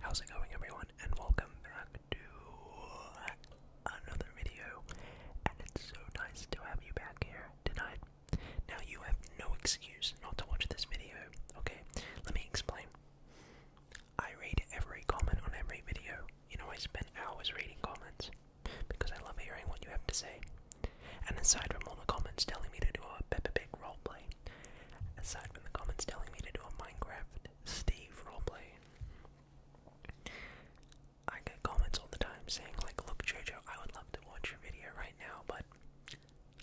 How's it going, everyone? And welcome back to another video. And it's so nice to have you back here tonight. Now, you have no excuse not to watch this video, okay? Let me explain. I read every comment on every video. You know, I spend hours reading comments because I love hearing what you have to say. And aside from all the comments telling me to do a Peppa Pig roleplay, Aside from the comments telling me to do a Minecraft Steve roleplay, I get comments all the time saying, like, look, Jojo, I would love to watch your video right now, but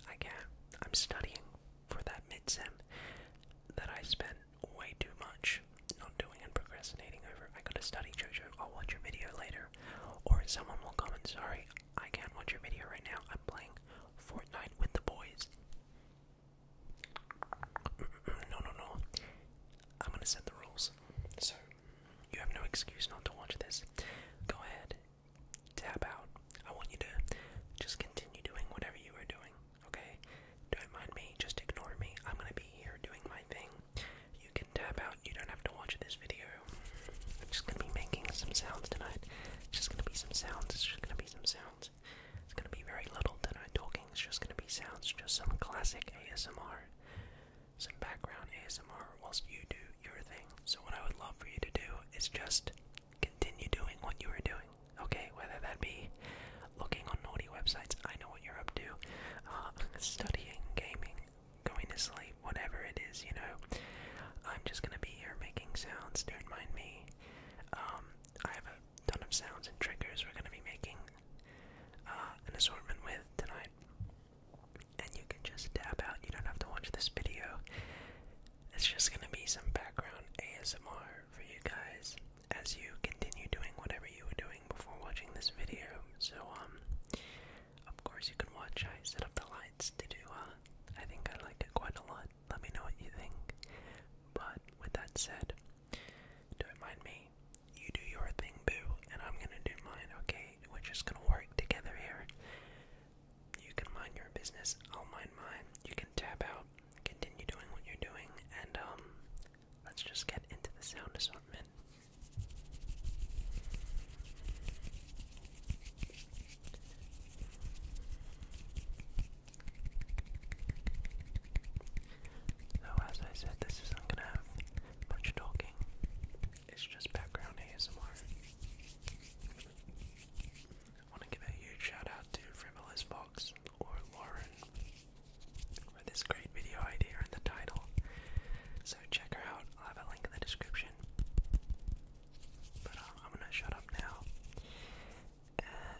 I can't. I'm studying for that mid-sim that I spent way too much not doing and procrastinating over. I gotta study, Jojo. I'll watch your video later. Or someone will comment, sorry, I can't watch your video right now. I'm playing Fortnite with the boys. No, no, no. I'm gonna set the rules. So, you have no excuse not to watch this. Go ahead, tap out. I want you to just continue doing whatever you are doing, okay? Don't mind me, just ignore me. I'm gonna be here doing my thing. You can tap out, you don't have to watch this video. I'm just gonna be making some sounds tonight. It's just gonna be some sounds, it's just gonna be some sounds. It's gonna be very little that talking, it's just gonna be sounds, just some classic ASMR, some background ASMR whilst you do your thing. So, what I would love for you to do is just continue doing what you were doing, okay? Whether that be looking on naughty websites, I know what you're up to, uh, studying, gaming, going to sleep, whatever it is, you know. I'm just gonna be here making sounds, don't mind me. Um, I have a ton of sounds and triggers we're going to be making uh, an assortment with tonight. And you can just dab out, you don't have to watch this video. It's just going to be some background ASMR for you guys as you continue doing whatever you were doing before watching this video. So, um, of course, you can watch. I set up the lights to do, uh, I think I like it quite a lot. Let me know what you think. But with that said, don't mind me. You do your thing, boo, and I'm gonna do mine, okay? We're just gonna work together here. You can mind your business, I'll mind mine. You can tap out, continue doing what you're doing, and um, let's just get into the sound assortment. Though, as I said, this isn't gonna have much talking, it's just background ASMR. I want to give a huge shout out to Frivolous Fox or Lauren for this great video idea and the title. So, check her out, I'll have a link in the description. But uh, I'm gonna shut up now,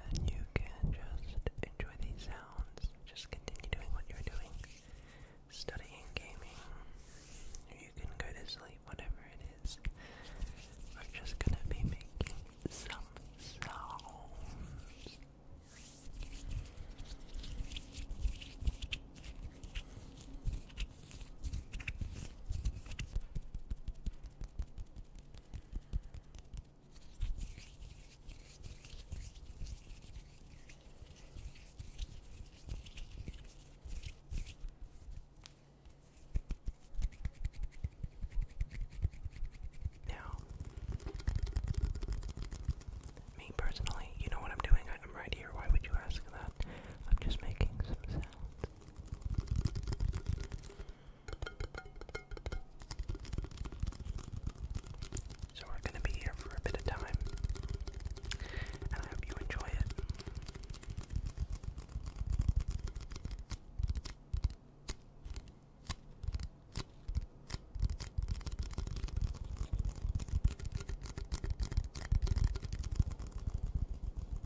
and you can just enjoy these sounds. Just continue doing what you're doing, studying, gaming. You can go to sleep, whatever it is. We're just gonna be making some sounds. Now, me personally, you know what I'm doing. I'm right here. Why would you ask that? I'm just making some sounds. So we're going to be here for a bit of time, and I hope you enjoy it.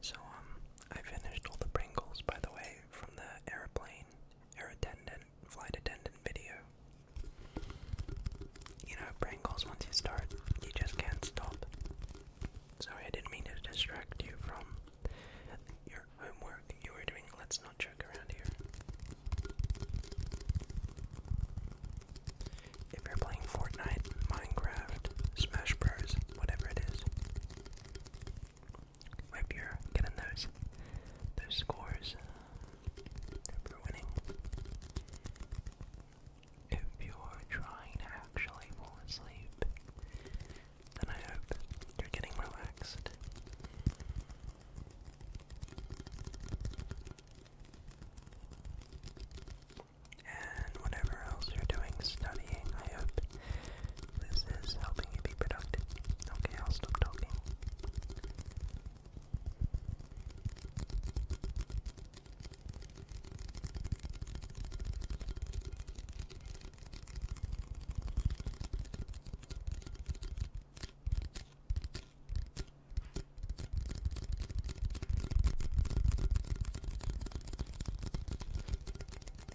So, um, I finished all the Pringles, by the way, from the airplane, air attendant, flight attendant video. You know, Pringles, once you start, you just can't stop. Sorry, I didn't mean to distract you from your homework you were doing. Let's not joke around here. If you're playing Fortnite, Minecraft, Smash Bros, whatever it is, Right here, getting those those scores if winning. If you're trying to actually fall asleep, then I hope you're getting relaxed and whatever else you're doing studying. I hope this is helping you be productive. Okay, I'll stop talking.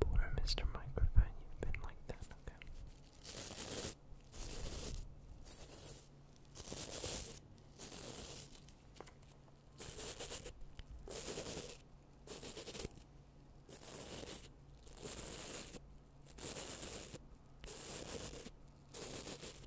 Poor Mr. Microphone, you've been like that, okay?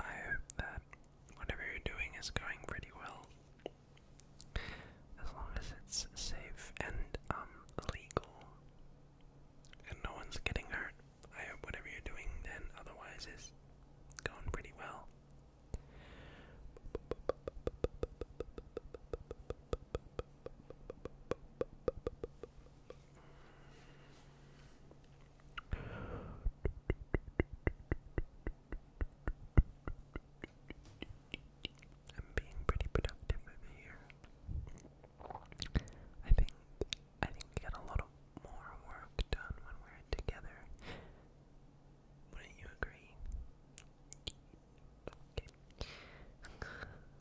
I hope that whatever you're doing is going pretty well. As long as it's safe and um legal and no one's getting hurt. I hope whatever you're doing then otherwise is going pretty well. I'm being pretty productive over here. I think I think we get a lot more work done when we're together. Wouldn't you agree?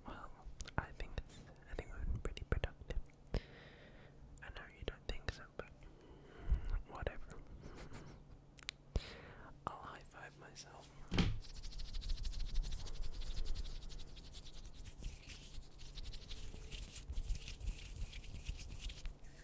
Well, I think this, I think we've been pretty productive. I know you don't think so, but whatever. I'll high five myself.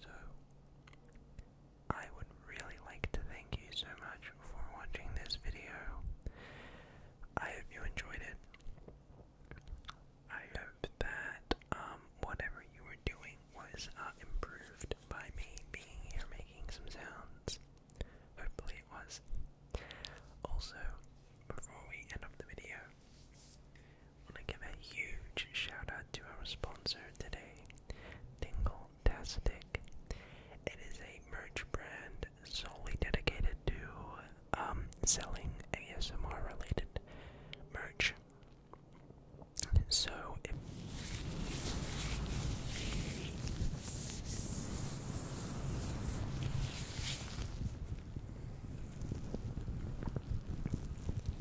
So, I would really like to thank you so much for watching this video. I hope you enjoyed it. I hope that um, whatever you were doing was uh, improved by me being here making some sounds. Hopefully it was. Also, before we end up the video, want to give a huge shout out to our sponsor today, Tingle Tastic. It is a merch brand solely dedicated to um, selling ASMR related merch. So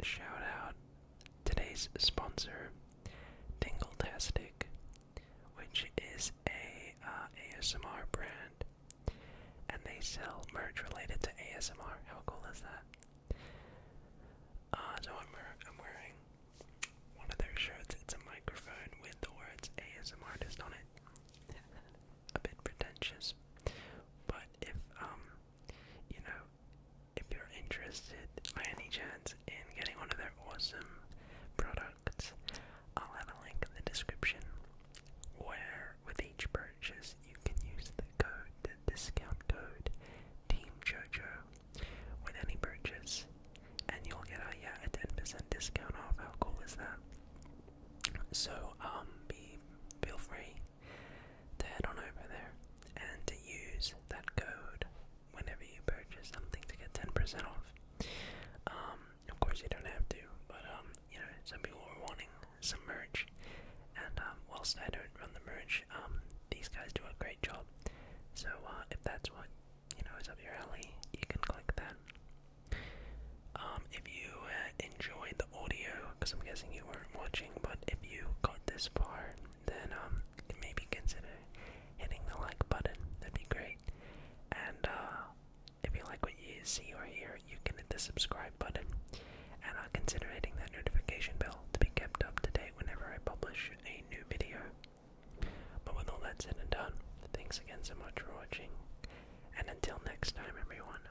Shout out Today's sponsor, Tingletastic, which is a uh, ASMR brand, and they sell merch related to ASMR. How cool is that? Uh, so I'm, wearing one of their shirts. It's a microphone with the words ASMR on it. a bit pretentious, but if um, you know, if you're interested by any chance in getting one of their awesome products, I'll have a link in the description where with each purchase you can use the code, the discount code Team Jojo with any purchase and you'll get a yeah a ten percent discount off. How cool is that? So um be feel free to head on over there and to use that code whenever you purchase something to get 10% off. Um, of course, you don't have to, but um, you know, some people were wanting some merch, and um, whilst I don't run the merch, these guys do a great job. So uh, if that's what you know is up your alley, you can click that. if you uh, enjoyed the audio, because I'm guessing you weren't watching, but if you got this far, then um maybe consider hitting the like button. That'd be great. And uh, if you like what you see or hear, you can hit the subscribe button and uh, consider hitting that notification bell to be kept up to date whenever I publish a new video. But with all that said and done, thanks again so much for watching. And until next time everyone.